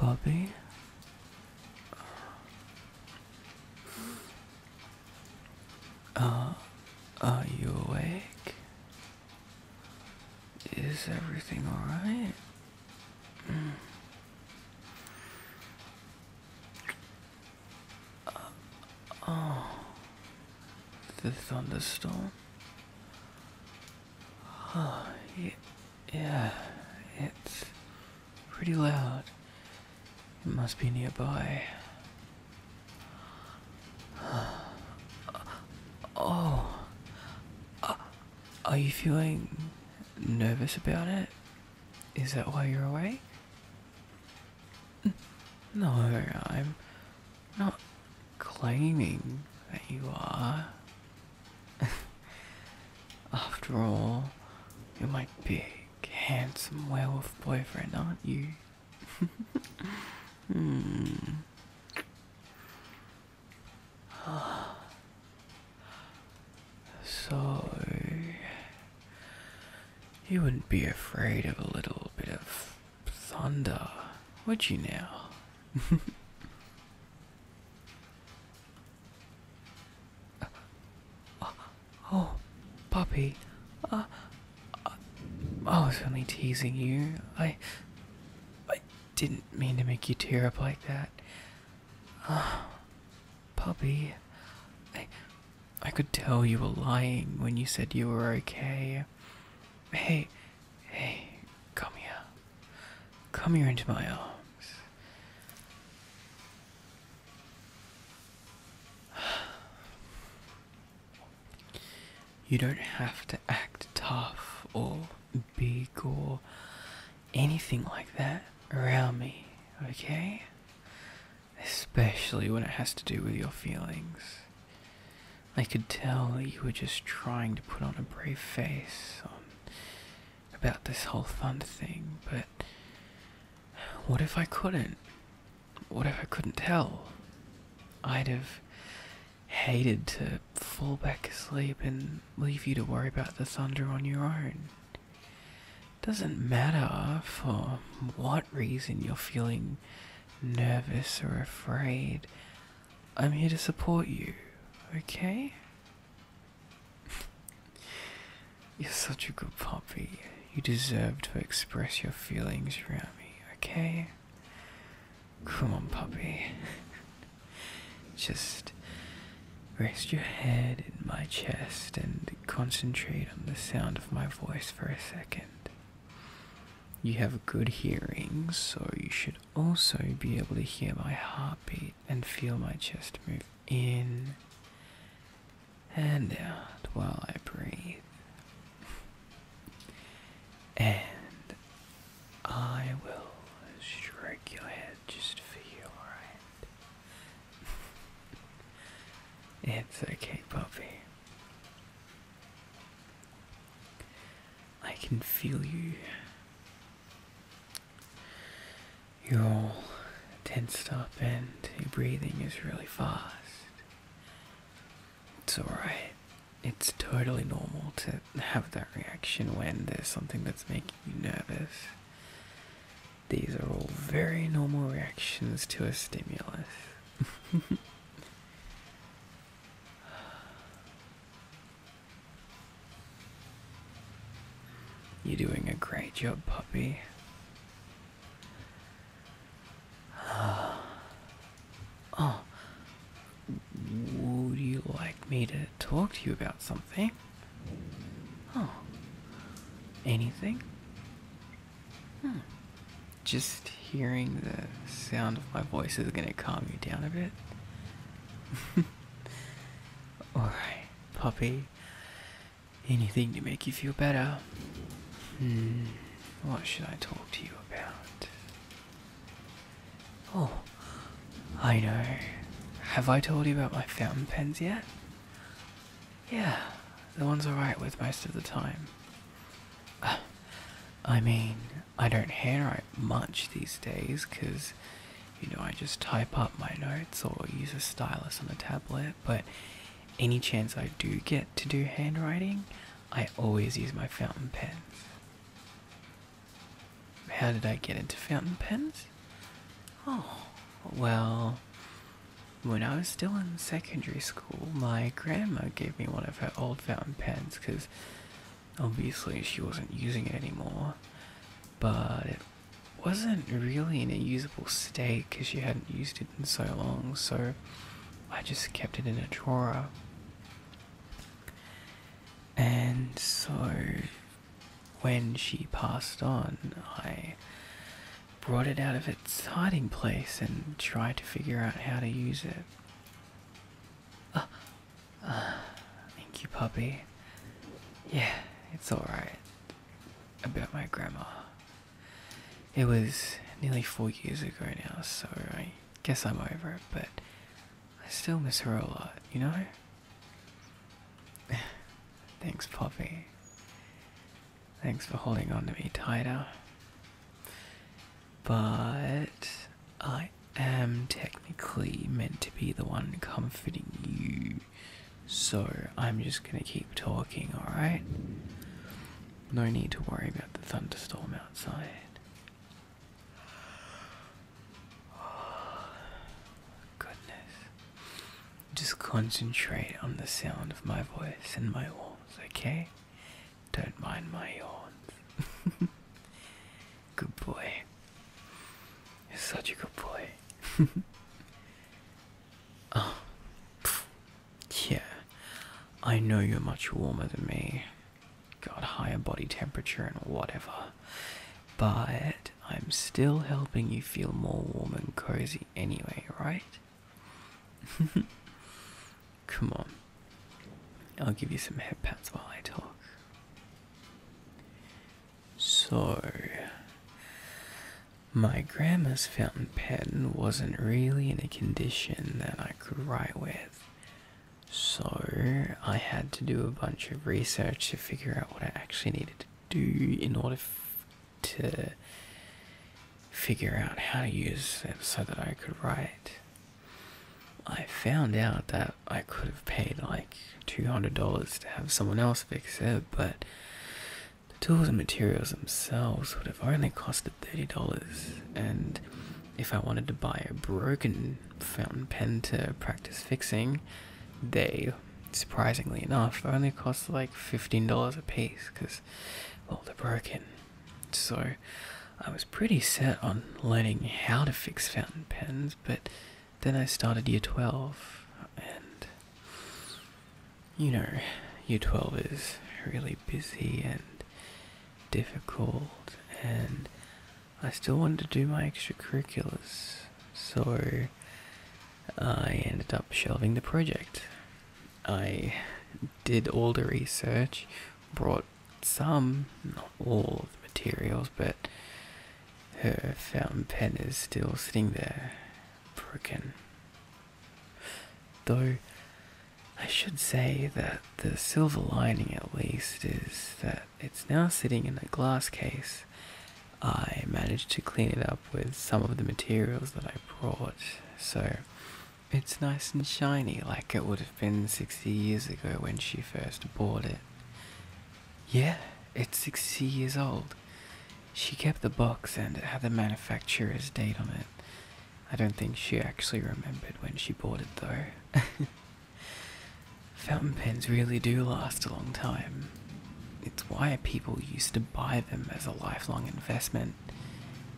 Bobby. Uh, are you awake? Is everything alright? Mm. Uh, oh, the thunderstorm yeah, it's pretty loud. It must be nearby. Oh, uh, are you feeling nervous about it? Is that why you're awake? No, I'm not claiming that you are. After all, you're my big, handsome werewolf boyfriend, aren't you? Hmm. so, you wouldn't be afraid of a little bit of Thunder. What you now? oh, puppy. Uh, uh, I was only teasing you. I, I didn't mean to make you tear up like that. Uh, puppy, I, I could tell you were lying when you said you were okay. Hey, Hey, come here. Come here into my arms. You don't have to act tough or big or anything like that around me, okay? Especially when it has to do with your feelings. I could tell you were just trying to put on a brave face on about this whole thunder thing, but what if I couldn't? What if I couldn't tell? I'd have hated to fall back asleep and leave you to worry about the thunder on your own. Doesn't matter for what reason you're feeling nervous or afraid I'm here to support you, okay? You're such a good puppy. You deserve to express your feelings around me, okay? Come on, puppy. Just rest your head in my chest and concentrate on the sound of my voice for a second. You have good hearing, so you should also be able to hear my heartbeat and feel my chest move in and out while I breathe. And I will stroke your head just for you, alright? It's okay, puppy. I can feel you. You're all tensed up and your breathing is really fast. It's alright. It's totally normal to have that reaction when there's something that's making you nervous. These are all very normal reactions to a stimulus. You're doing a great job, puppy. Oh, would you like me to talk to you about something? Oh, anything? Hmm just hearing the sound of my voice is gonna calm you down a bit. Alright, puppy. Anything to make you feel better? Hmm, what should I talk to you about? Oh, I know. Have I told you about my fountain pens yet? Yeah, the ones I write with most of the time. I mean, I don't handwrite much these days because, you know, I just type up my notes or use a stylus on a tablet, but any chance I do get to do handwriting, I always use my fountain pen. How did I get into fountain pens? Oh, well, when I was still in secondary school, my grandma gave me one of her old fountain pens because obviously she wasn't using it anymore, but it wasn't really in a usable state because she hadn't used it in so long, so I just kept it in a drawer. And so when she passed on, I brought it out of its hiding place and tried to figure out how to use it. Uh, uh, thank you, puppy. Yeah, it's alright. About my grandma. It was nearly four years ago now, so I guess I'm over it, but I still miss her a lot, you know? Thanks, puppy. Thanks for holding on to me tighter but I am technically meant to be the one comforting you, so I'm just gonna keep talking, alright? No need to worry about the thunderstorm outside. goodness. Just concentrate on the sound of my voice and my walls, okay? Don't mind my horns. good boy. You're such a good boy. oh. Yeah. I know you're much warmer than me. Got higher body temperature and whatever. But I'm still helping you feel more warm and cozy anyway, right? Come on. I'll give you some headpads while I talk. So, my grandma's fountain pen wasn't really in a condition that I could write with, so I had to do a bunch of research to figure out what I actually needed to do in order to figure out how to use it so that I could write. I found out that I could have paid like $200 to have someone else fix it, but the tools and materials themselves would have only costed $30. And if I wanted to buy a broken fountain pen to practice fixing, they, surprisingly enough, only cost like $15 a piece because well, they're broken. So I was pretty set on learning how to fix fountain pens, but then I started year 12, and you know, year 12 is really busy and difficult, and I still wanted to do my extracurriculars, so I ended up shelving the project. I did all the research brought some, not all of the materials, but her fountain pen is still sitting there, broken. Though I should say that the silver lining, at least, is that it's now sitting in a glass case. I managed to clean it up with some of the materials that I brought, so it's nice and shiny like it would have been 60 years ago when she first bought it. Yeah, it's 60 years old. She kept the box and it had the manufacturer's date on it. I don't think she actually remembered when she bought it though. Fountain pens really do last a long time. It's why people used to buy them as a lifelong investment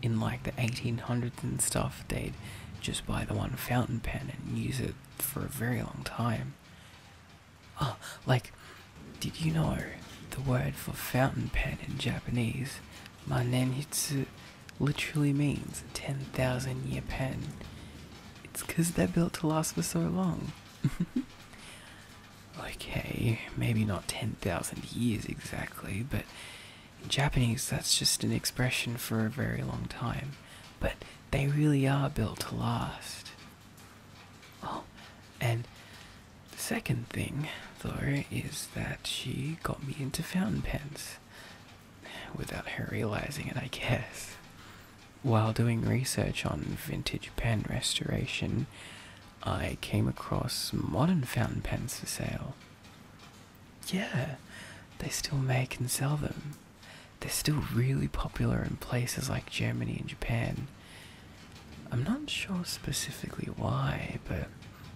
in like the 1800s and stuff, they'd just buy the one fountain pen and use it for a very long time. Oh, like, did you know the word for fountain pen in Japanese, manenhitsu, literally means 10,000 year pen? It's because they're built to last for so long. okay, maybe not 10,000 years exactly, but in Japanese, that's just an expression for a very long time, but they really are built to last. Oh, and the second thing, though, is that she got me into fountain pens. Without her realizing it, I guess. While doing research on vintage pen restoration, I came across modern fountain pens for sale. Yeah, they still make and sell them. They're still really popular in places like Germany and Japan. I'm not sure specifically why, but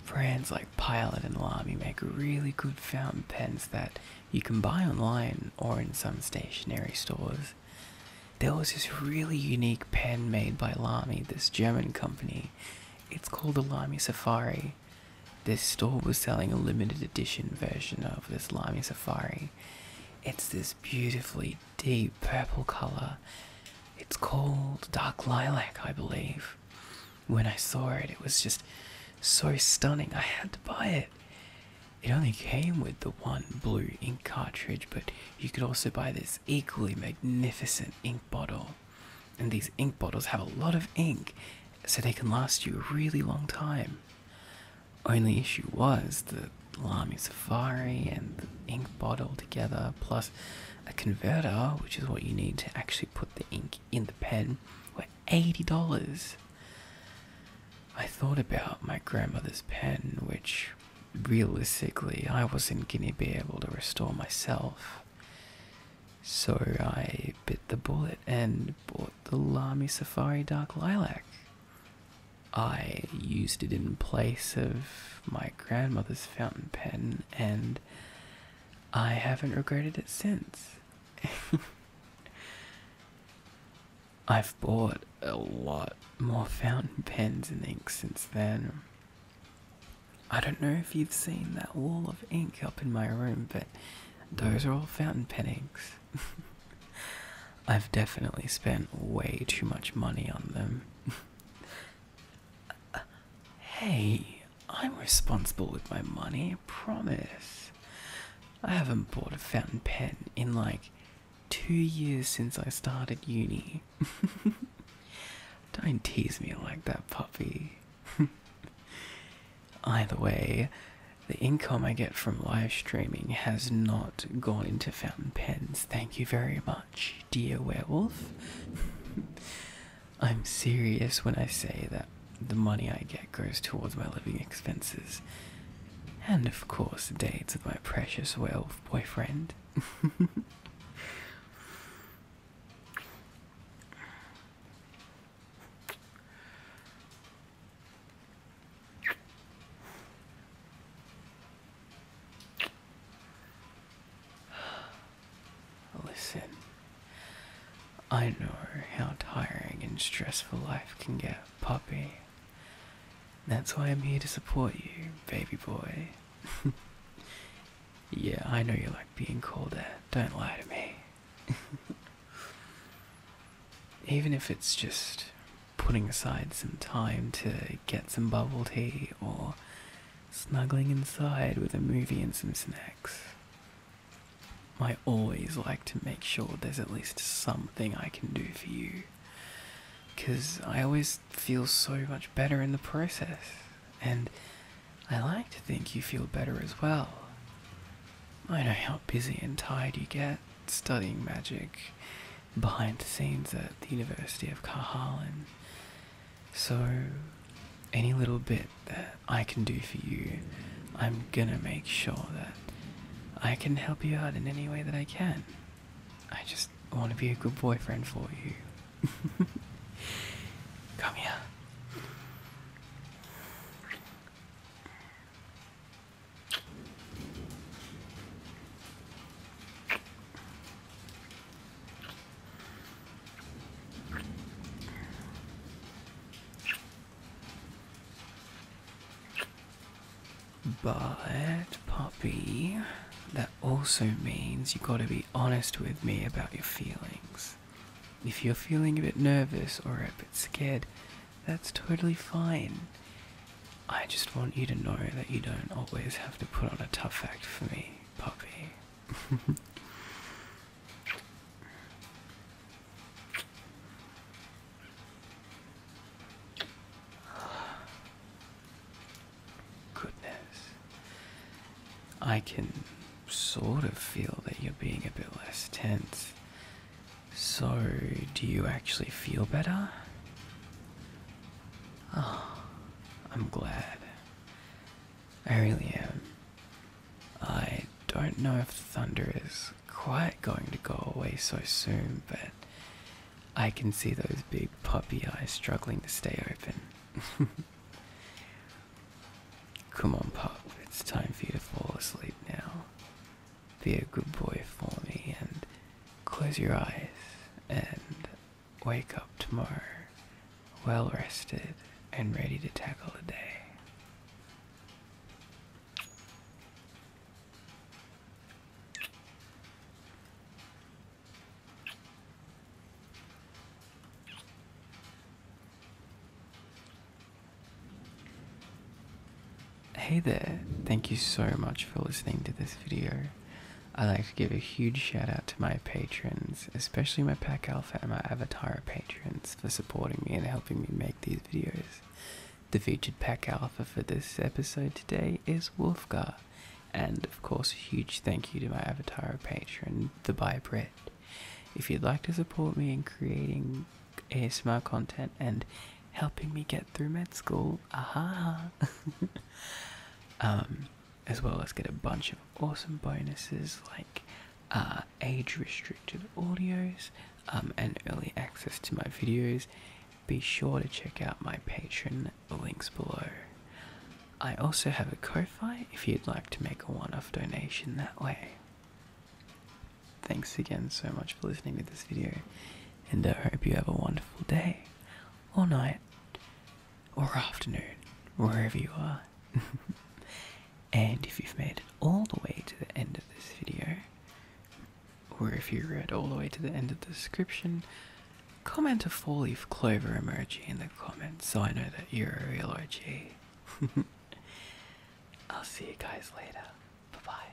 brands like Pilot and Lamy make really good fountain pens that you can buy online or in some stationery stores. There was this really unique pen made by Lamy, this German company, it's called Alami Safari. This store was selling a limited edition version of this Lamy Safari. It's this beautifully deep purple colour. It's called Dark Lilac, I believe. When I saw it, it was just so stunning. I had to buy it. It only came with the one blue ink cartridge, but you could also buy this equally magnificent ink bottle and these ink bottles have a lot of ink, so they can last you a really long time. Only issue was the Lamy Safari and the ink bottle together, plus a converter, which is what you need to actually put the ink in the pen, were $80. I thought about my grandmother's pen, which realistically I wasn't going to be able to restore myself. So I bit the bullet and bought the Lamy Safari Dark Lilac. I used it in place of my grandmother's fountain pen, and I haven't regretted it since. I've bought a lot more fountain pens and ink since then. I don't know if you've seen that wall of ink up in my room, but those are all fountain pen inks. I've definitely spent way too much money on them. hey, I'm responsible with my money, promise. I haven't bought a fountain pen in like two years since I started uni. Don't tease me like that, puppy. Either way, the income I get from live streaming has not gone into fountain pens. Thank you very much, dear werewolf. I'm serious when I say that the money I get goes towards my living expenses. And of course, the dates with my precious werewolf boyfriend. Listen, I know how tiring and stressful life can get, puppy. That's why I'm here to support you, baby boy. Yeah, I know you like being called that. Don't lie to me. Even if it's just putting aside some time to get some bubble tea or snuggling inside with a movie and some snacks. I always like to make sure there's at least something I can do for you. Because I always just feel so much better in the process. And I like to think you feel better as well. I know how busy and tired you get studying magic behind the scenes at the University of Carharlan. So, any little bit that I can do for you, I'm gonna make sure that I can help you out in any way that I can. I just want to be a good boyfriend for you. Come here. But, puppy, also means you have got to be honest with me about your feelings. If you're feeling a bit nervous or a bit scared, that's totally fine. I just want you to know that you don't always have to put on a tough act for me, puppy. Goodness. I can sort of feel that you're being a bit less tense. So, do you actually feel better? Oh, I'm glad. I really am. I don't know if thunder is quite going to go away so soon, but I can see those big puppy eyes struggling to stay open. Come on, pup, it's time for you to fall asleep now. Be a good boy for me and close your eyes and wake up tomorrow, well rested and ready to tackle the day. Hey there, thank you so much for listening to this video. I'd like to give a huge shout out to my patrons, especially my Pack Alpha and my Avatar patrons for supporting me and helping me make these videos. The featured Pack Alpha for this episode today is Wolfgar. And of course, a huge thank you to my avatar patron, The By Bread. If you'd like to support me in creating ASMR content and helping me get through med school, aha! um, as well as get a bunch of awesome bonuses like uh, age restricted audios um, and early access to my videos, be sure to check out my Patreon the links below. I also have a Ko-Fi if you'd like to make a one-off donation that way. Thanks again so much for listening to this video, and I hope you have a wonderful day, or night, or afternoon, wherever you are. and if you've made it all the way to the end of this video, or if you read all the way to the end of the description, Comment a four leaf clover emoji in the comments so I know that you're a real OG. I'll see you guys later. Bye bye.